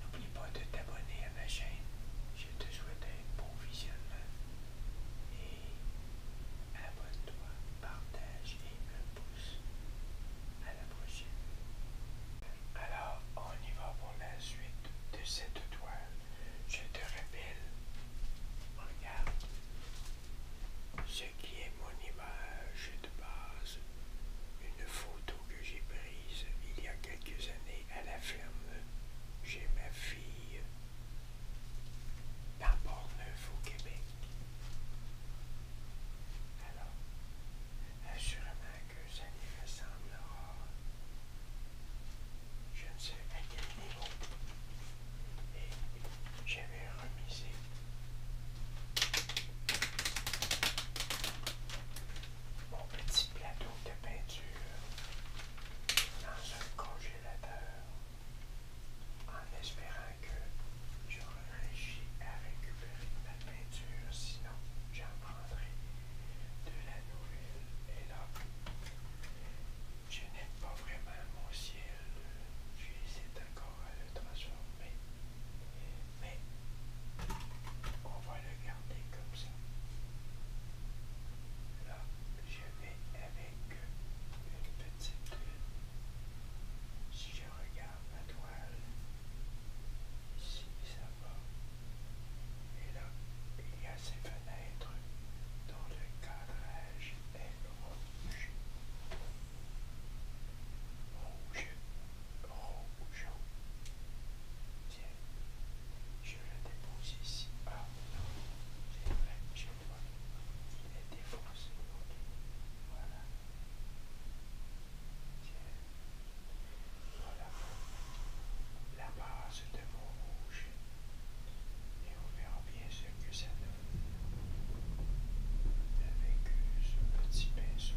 N'oublie pas de t'abonner à ma chaîne. Je te souhaite un bon visionnement. Et abonne-toi, partage et un pouce. À la prochaine. Alors, on y va pour la suite de cette toile. Je te rappelle, regarde ce qui est mon image de base, une photo que j'ai prise il y a quelques années à la ferme chez ma fille dans Portneuf au Québec. Alors, assurément que ça lui ressemblera. Je ne sais à quel niveau. Et j'avais remiser mon petit plateau de peinture dans un congélateur en espérant que je réussis à récupérer ma peinture, sinon j'en prendrai de la nouvelle. Et là, je n'aime pas vraiment mon ciel, j'hésite encore à le transformer mais on va le garder comme ça. Là, je vais avec une petite lune. Si je regarde ma toile, ici ça va. Et là, il y a ces fenêtres dans le cadrage est Rouge rouge. Oh, Tiens, je le dépose ici. Ah non, c'est vrai, je vois. Il est défoncé. voilà. Tiens, voilà la base de vos rouge. Et on verra bien ce que ça donne avec euh, ce petit pinceau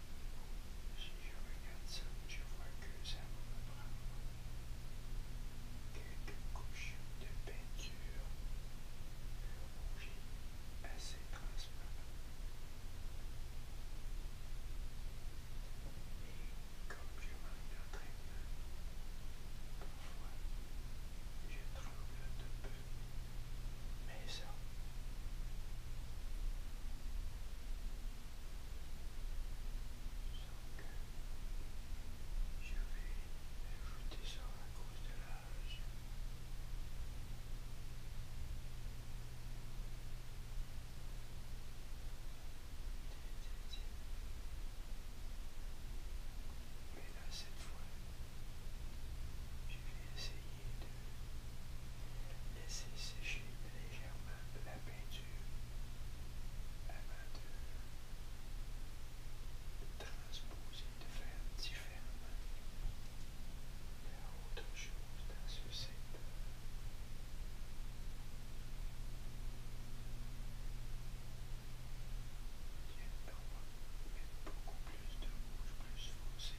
Si je regarde ça, je vois que ça me prend quelques couches de peinture rougie assez transparent. Et comme je très bien, parfois je tremble de peu. Mais ça, je vais ajouter ça à cause de l'âge. Mais là, cette fois, je vais essayer de Laissez sécher légèrement la peinture avant de, transposer, de faire différemment. Il autre chose dans ce secteur. On va mettre beaucoup plus de rouge, plus foncé.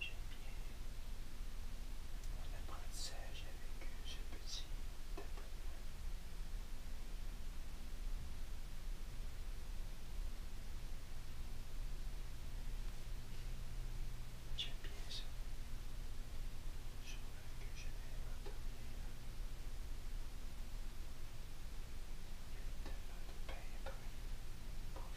J'aime bien mon apprentissage avec ce petit tapotement. J'aime bien ça. Je vois que je vais m'endormir. Il y a tellement de paix et bruit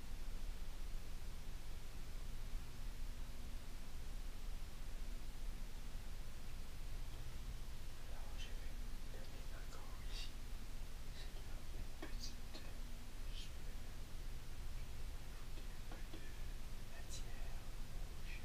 Alors euh, je vais ici. C'est une Je ajouter un peu de matière rouge.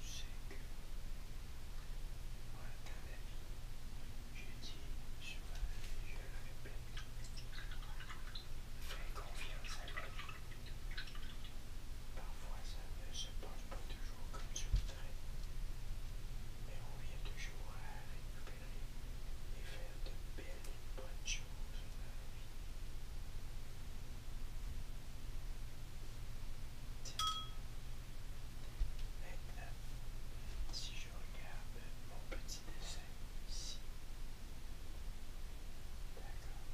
Je sais que dans vie. Je dis, je, je le répète, fais confiance à la Parfois ça ne se passe pas toujours comme tu voudrais, mais on vient toujours à récupérer et faire de belles et bonnes choses si je regarde mon petit dessin ici, d'accord,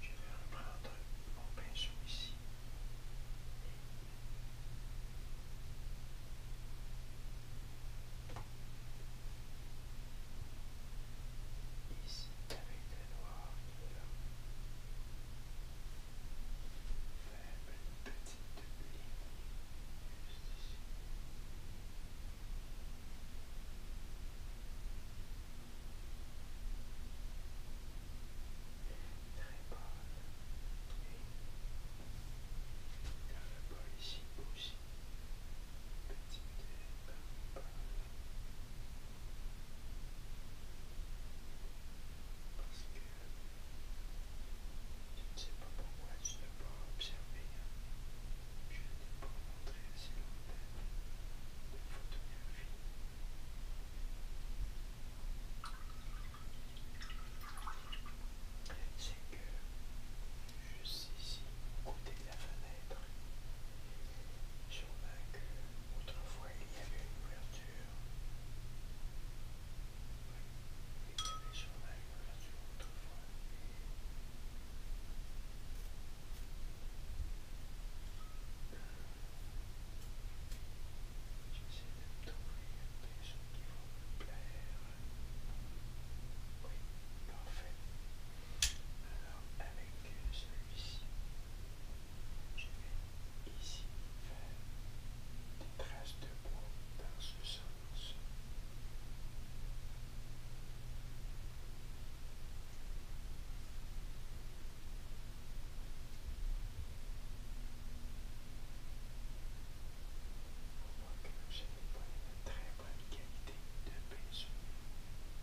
je vais reprendre mon pinceau ici ici avec le noir il est là. Faire une petite ligne juste ici. Très bonne. Et dans le bol ici aussi parce que je ne sais pas pourquoi tu n'as pas observé, je n'ai pas montré assez longtemps de photographie. C'est que juste ici, au côté de la fenêtre, je autrefois qu'autrefois il y avait une ouverture. Oui, il y avait autrefois. de trouver des qui vont plaire. Oui, parfait. Alors avec celui-ci, je vais ici faire des traces de bois dans ce sens. Pour moi, que je n'ai pas une très bonne qualité de pinceau.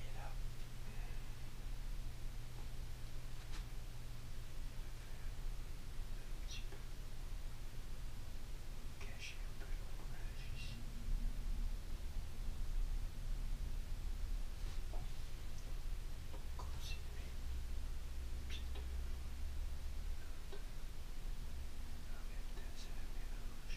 Et là. Un petit peu. Cacher un peu ici. Continuer piteusement, avec mélange.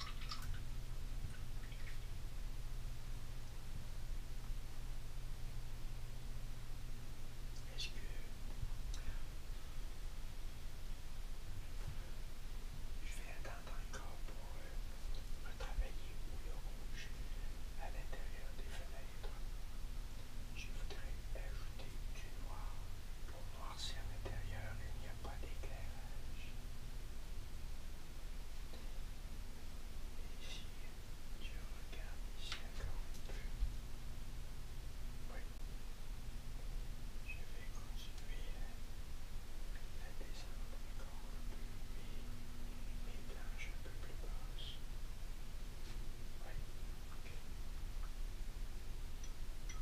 Est-ce que... Je vais attendre encore pour euh, retravailler ou le rouge à l'intérieur des fenêtres. Je voudrais ajouter du noir pour moi c'est à l'intérieur il n'y a pas d'éclairage. Et si je regarde ici encore un peu, oui, je vais continuer à descendre encore un peu mes planches un peu plus basses. Oui, ok.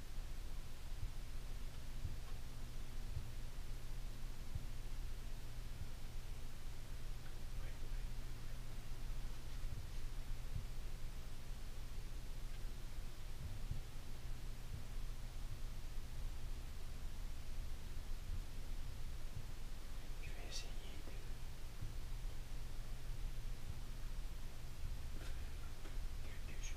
Je vais essayer de faire quelque chose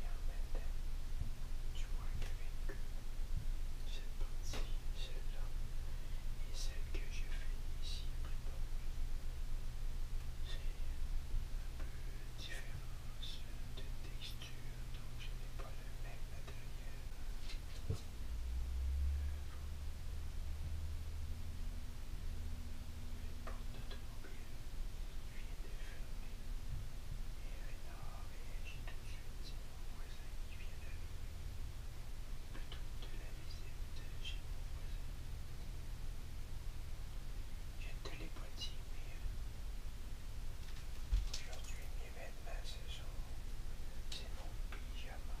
Et en même temps, tu vois qu'avec cette partie, celle-là, et celle que j'ai fait ici à c'est un peu différent de texture, donc je n'ai pas le même matériel. Les portes automobiles vient de fermer. Et Renard réagit tout de suite mon voisin qui vient d'arriver. Plutôt ben, toute la visite j'ai mon voisin. J'ai télépathie, mais aujourd'hui mes vêtements se sont c'est mon pyjama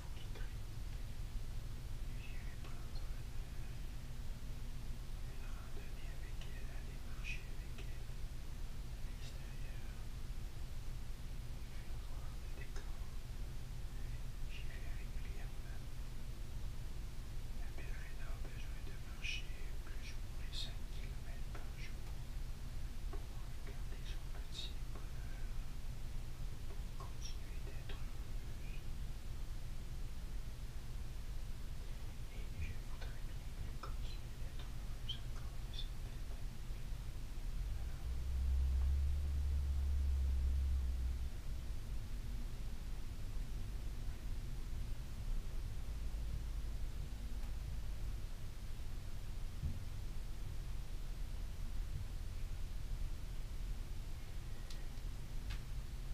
J'irai prendre Une randonnée avec elle, aller marcher avec elle à l'extérieur, faire voir le décor. J'y vais régulièrement. La Pèlerine a besoin de marcher plus ou moins 5 km par jour regarder son bonheur pour continuer d'être Et je voudrais bien continuer d'être heureuse encore de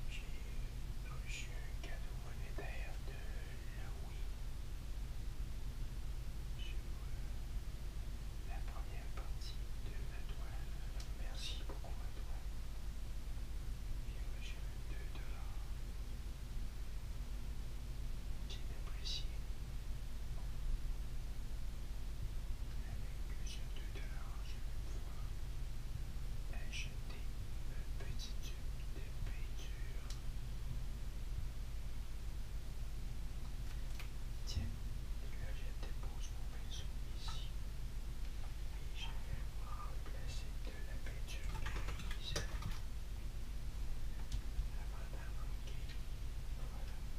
j'ai reçu un cadeau monétaire de Louis sur la première partie de ma toile. merci beaucoup à toi. J'ai reçu 2 dollars. apprécié. Avec plusieurs dollars je vais pouvoir acheter un petit tube de peinture. Tiens, là je dépose mon pinceau ici. Et je vais remplacer de la peinture grise. Avant d'en manquer. Voilà.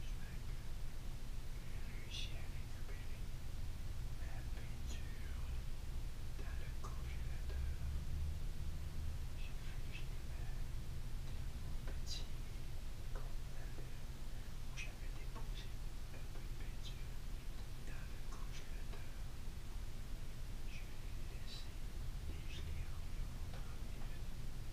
j'ai réussi à récupérer ma peinture dans le congélateur. J'ai figé mon petit conteneur où j'avais déposé un peu de peinture dans le congélateur. Je l'ai laissé et en l'ai revu en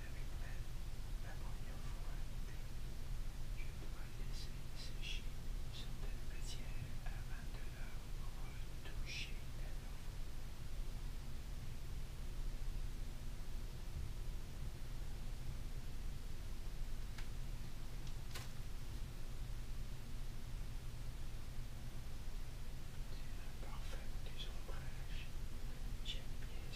avec même la première fois, je dois laisser sécher certaines matières avant de leur retoucher la nouveau. C'est un parfum des J'aime bien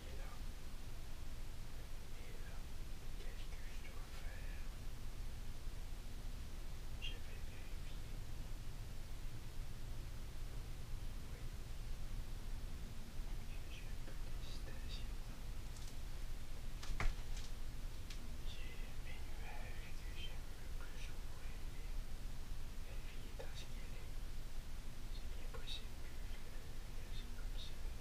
Et là. Et là, qu'est-ce que je dois faire Je vais vérifier. J'ai un J'ai mes nuages que j'aime le plus est ce qu'elle C'est bien possible que je comme ça.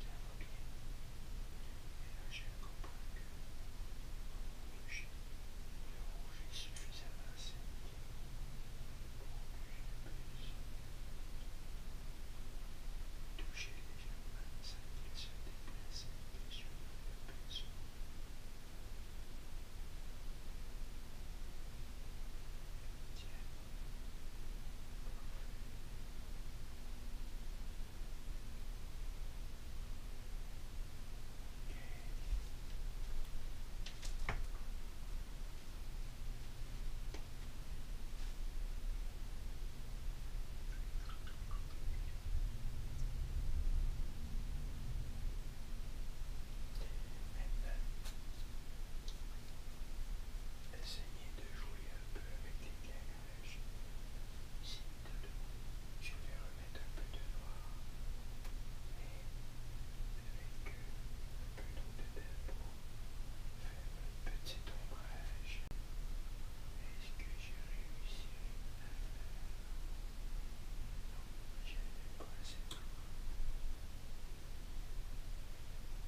Ça va Et là, je comprends que je vais est suffisamment pour que je toucher légèrement sans se déplace Essayez de jouer je vais remettre un peu de noir, mais avec un peu de pour faire un petit ombrage. Est-ce que j'ai réussi à faire Non, pas assez de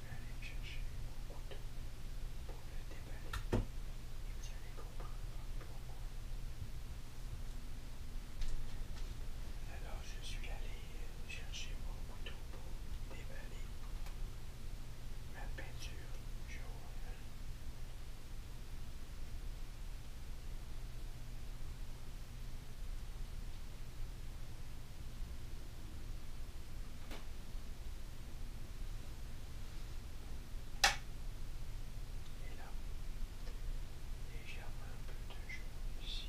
vais aller chercher mon couteau pour le déballer. vous allez comprendre pourquoi. Alors je suis allé chercher mon couteau pour déballer ma peinture jaune. Voilà. Et là, légèrement un peu de jeu ici.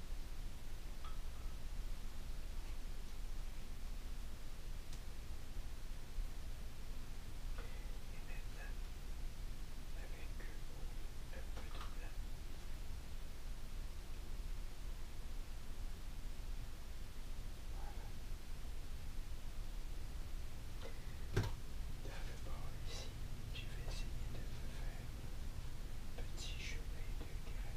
Et maintenant, avec un peu de blanc. Voilà. D'abord ici, je vais essayer de faire un petit chemin de gravier.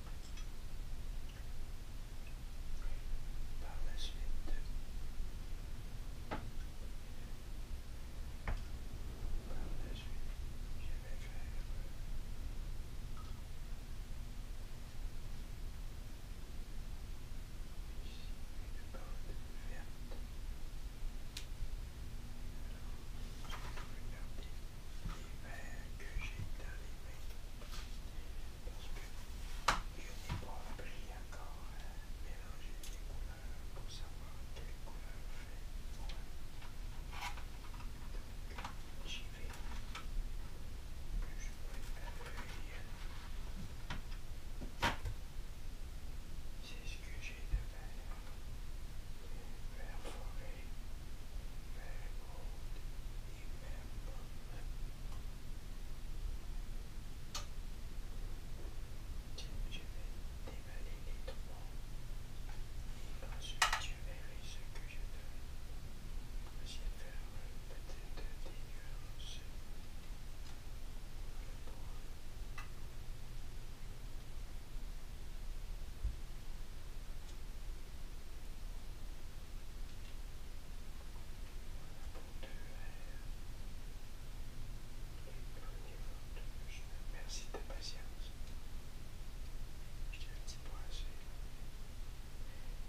Par la suite, par la suite, je vais faire. une bande les verres que j'ai dans les mains. Parce que je n'ai pas appris encore à mélanger les couleurs pour savoir quelle couleur fait Donc j'y vais. Je vais C'est ce que j'ai de faire. forêt je vais dévaler les trois. Et ensuite, je verrai ce que je donne. Je vais faire peut-être des nuances. Voilà. Merci de ta patience. Je un petit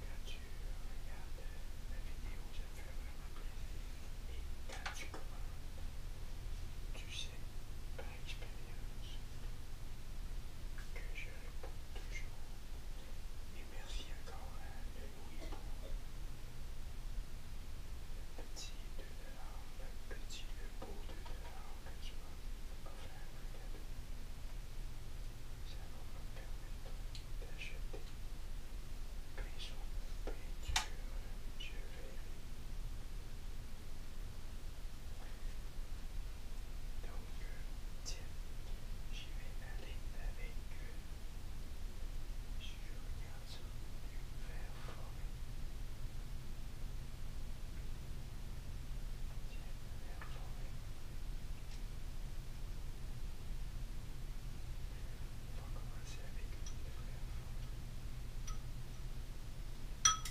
Quand tu regardes la vidéo, vraiment plaisir. Et tu sais, expérience, que je réponds toujours. Et merci encore à Louis pour le petit de dollars, le petit, le beau 2 dollars que tu m'as offert un cadeau. Ça va me permettre d'acheter Prison Peinture. Je vais Donc, euh, tiens, je vais aller avec eux. Je regarde sur le verre formé. Tiens, le verre formé. On va commencer avec le verre formé.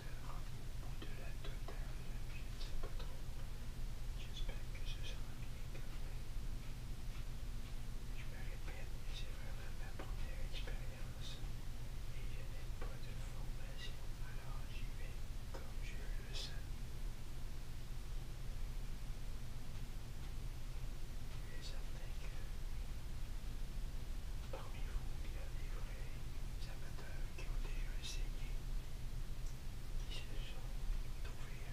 Au-delà de delà je ne sais pas trop. J'espère que ce sera bien gardé. Je me répète, c'est vraiment ma première expérience et je n'ai pas de formation, alors j'y vais comme je le sais. Je suis certain que parmi vous, il y a des vrais amateurs qui ont déjà essayé, qui se sont trouvés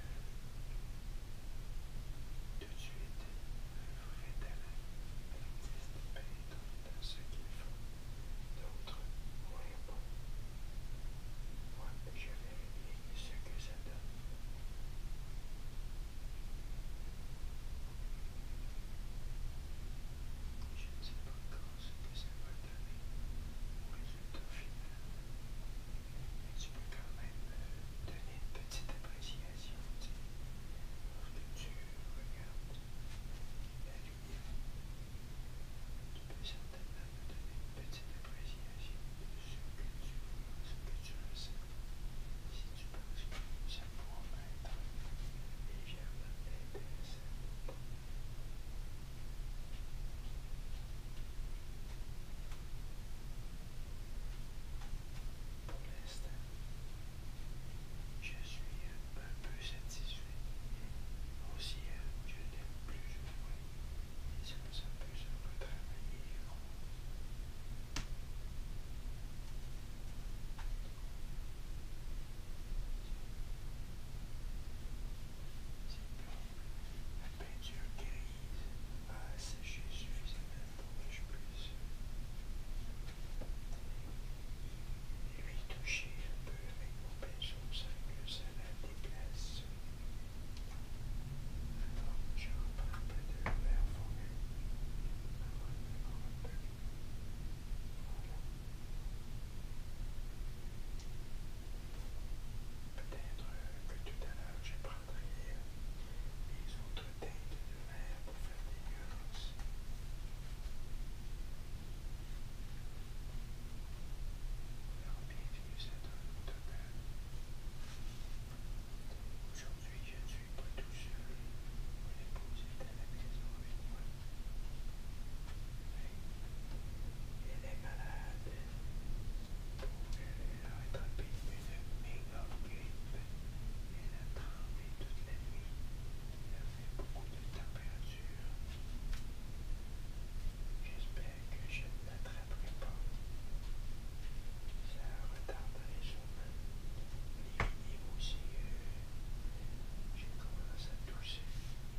tout de suite un vrai talent à l'artiste dans ce qu'ils font, d'autres moins bon. Moi, je vais bien ce que ça donne. Je ne sais pas quand ce que ça va au résultat final. Mais tu peux quand même donner une petite appréciation lorsque tu regardes la lumière. Tu peux certainement me donner une petite appréciation de ce que tu vois, ce que tu ressens. Si tu penses que ça pourra m'être légèrement pour je suis un peu satisfait. Aussi, je n'aime plus jouer. mais ça plus la peinture grise a asséché suffisamment pour que je puisse lui toucher un peu avec mon peinture, sans que ça la déplace. Alors, je reprends un peu de verre fondé un peu Peut-être que tout à l'heure j'ai prendrai les autres teintes de mer pour faire des violences. Alors bienvenue ça donne au total. Aujourd'hui je ne suis pas tout seul. Mon épouse est à la maison avec moi. Elle est malade. Elle a attrapé une méga grippe. Elle a trempé toute la nuit. Elle a fait beaucoup de température. J'espère que je ne l'attraperai pas. Ça retarderait sûrement. Les niveaux aussi, j'ai commencé à tousser.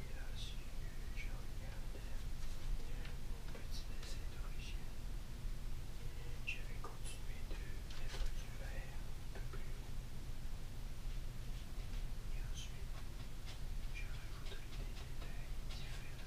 Et là, je regardais mon petit dessin d'origine, Et j'avais continué de mettre du vert un peu plus haut. Et ensuite, je voulu des détails différents.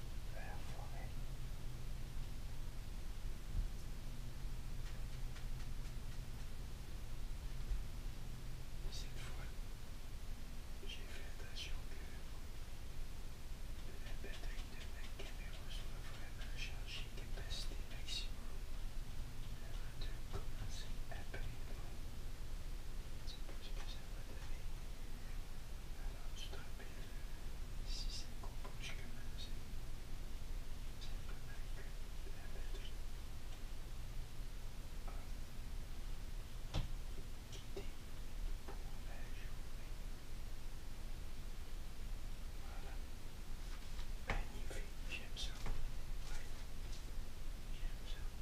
de la forêt. Cette fois, j'ai fait attention que la batterie de ma caméra soit vraiment chargée, capacité maximum, avant de commencer à prendre. Je ne sais pas ce que ça va donner. Alors tu te rappelles, si c'est compo jusque-là, c'est un peu mal que la batterie a quitté pour la journée. Voilà. Magnifique, j'aime ça. Ouais. J'aime ça.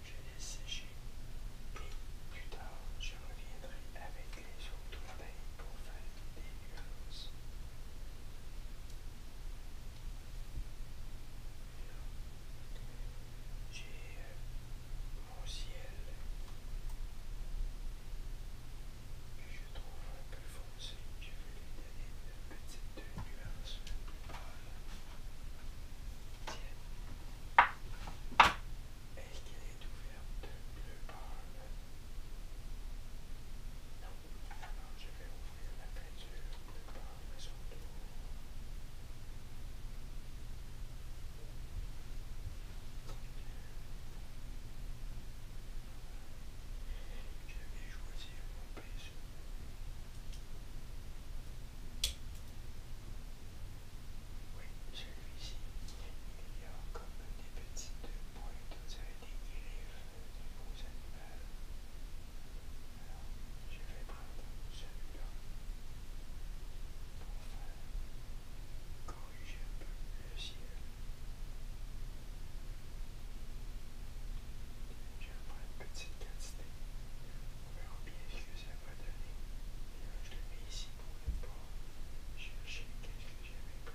je laisse sécher et plus tard je reviendrai avec les autres pour faire des nuances. J'ai mon ciel que je trouve un peu foncé. Je vais lui donner une petite nuance est-ce qu'elle est ouverte bleu pâle Non. Alors je vais ouvrir la peinture bleu pâle à son tour. Je vais choisir mon pinceau. Oui, celui-ci, il y a comme des petites pointes, des griffes du gros animaux. Alors, je vais prendre celui-là pour faire corriger un peu le ciel. Je vais prendre une petite quantité. On verra bien ce que ça va donner. je le mets ici pour ne pas chercher ce que j'avais pris.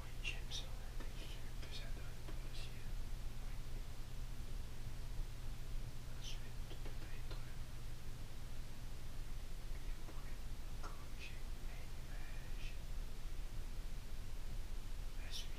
Oui, j'aime on la texture que ça donne pour le ciel. Oui. Ensuite, peut-être, comme j'ai images à suivre.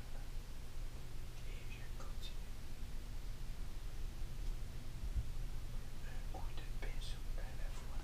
et je continue. Un coup de pinceau à la fois.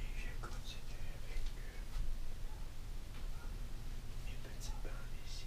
Et j'ai continué avec eux. Mes petits ici,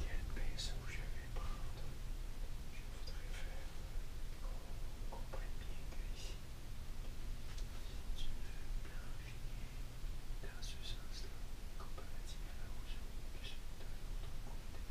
Quel pinceau je vais prendre Je voudrais faire qu'on euh, comprenne bien que ici, veux une finir dans ce sens-là, comparativement à la rouge que celui de l'autre côté.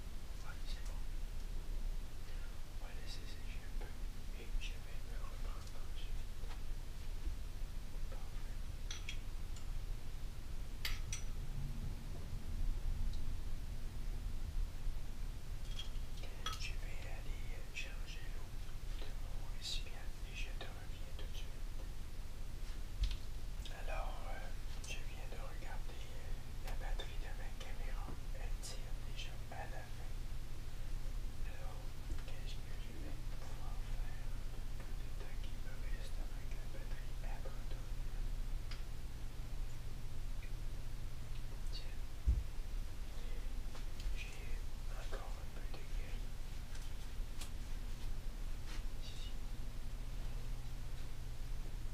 Oui, c'est bon. On va laisser sécher un peu et je vais me reprendre ensuite. Parfait. Je vais aller charger l'eau de mon récipient et je te reviens tout de suite. Alors, je viens de regarder la batterie entrée de ma caméra elle tire déjà à la fin. Alors, qu'est-ce que je vais pouvoir faire peu de temps qui me reste avec la batterie abandonne? Tiens, j'ai encore un peu de guerre Ici.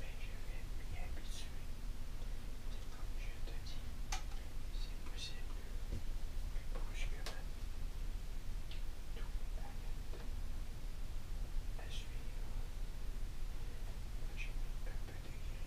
Mais je vais m'y habituer. C'est comme je te dis, c'est possible que brusquement tout à suivre. J'ai mis un peu de gris.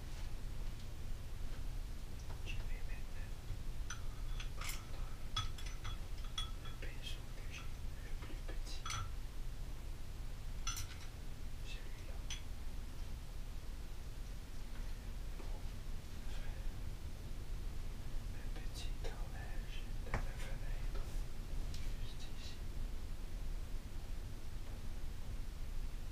Je vais maintenant prendre le pinceau que j'ai le plus petit. Celui-là. Pour faire un petit tournage dans la fenêtre, juste ici.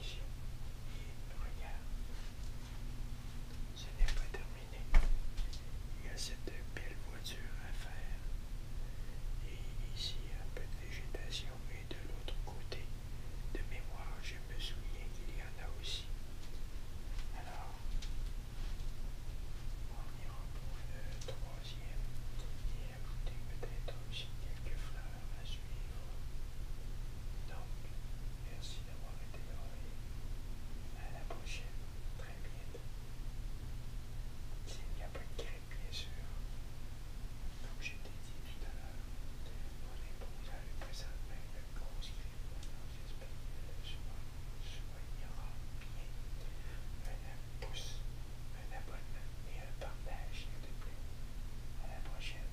Et Regarde, ce n'est pas terminé. Il y a cette belle voiture à faire. Et ici, un peu de végétation. Et de l'autre côté, de mémoire, je me souviens qu'il y en a aussi. Alors, on ira pour le troisième et ajouter peut-être aussi quelques fleurs à ce donc, merci d'avoir été là A à la prochaine, très bientôt. S'il n'y a pas de grippe, bien sûr, comme je t'ai dit tout à l'heure, mon épouse a eu présentement une grosse grippe. Alors j'espère qu'elle soignera bien. Un pouce, un abonnement et un partage, s'il te plaît. À la prochaine.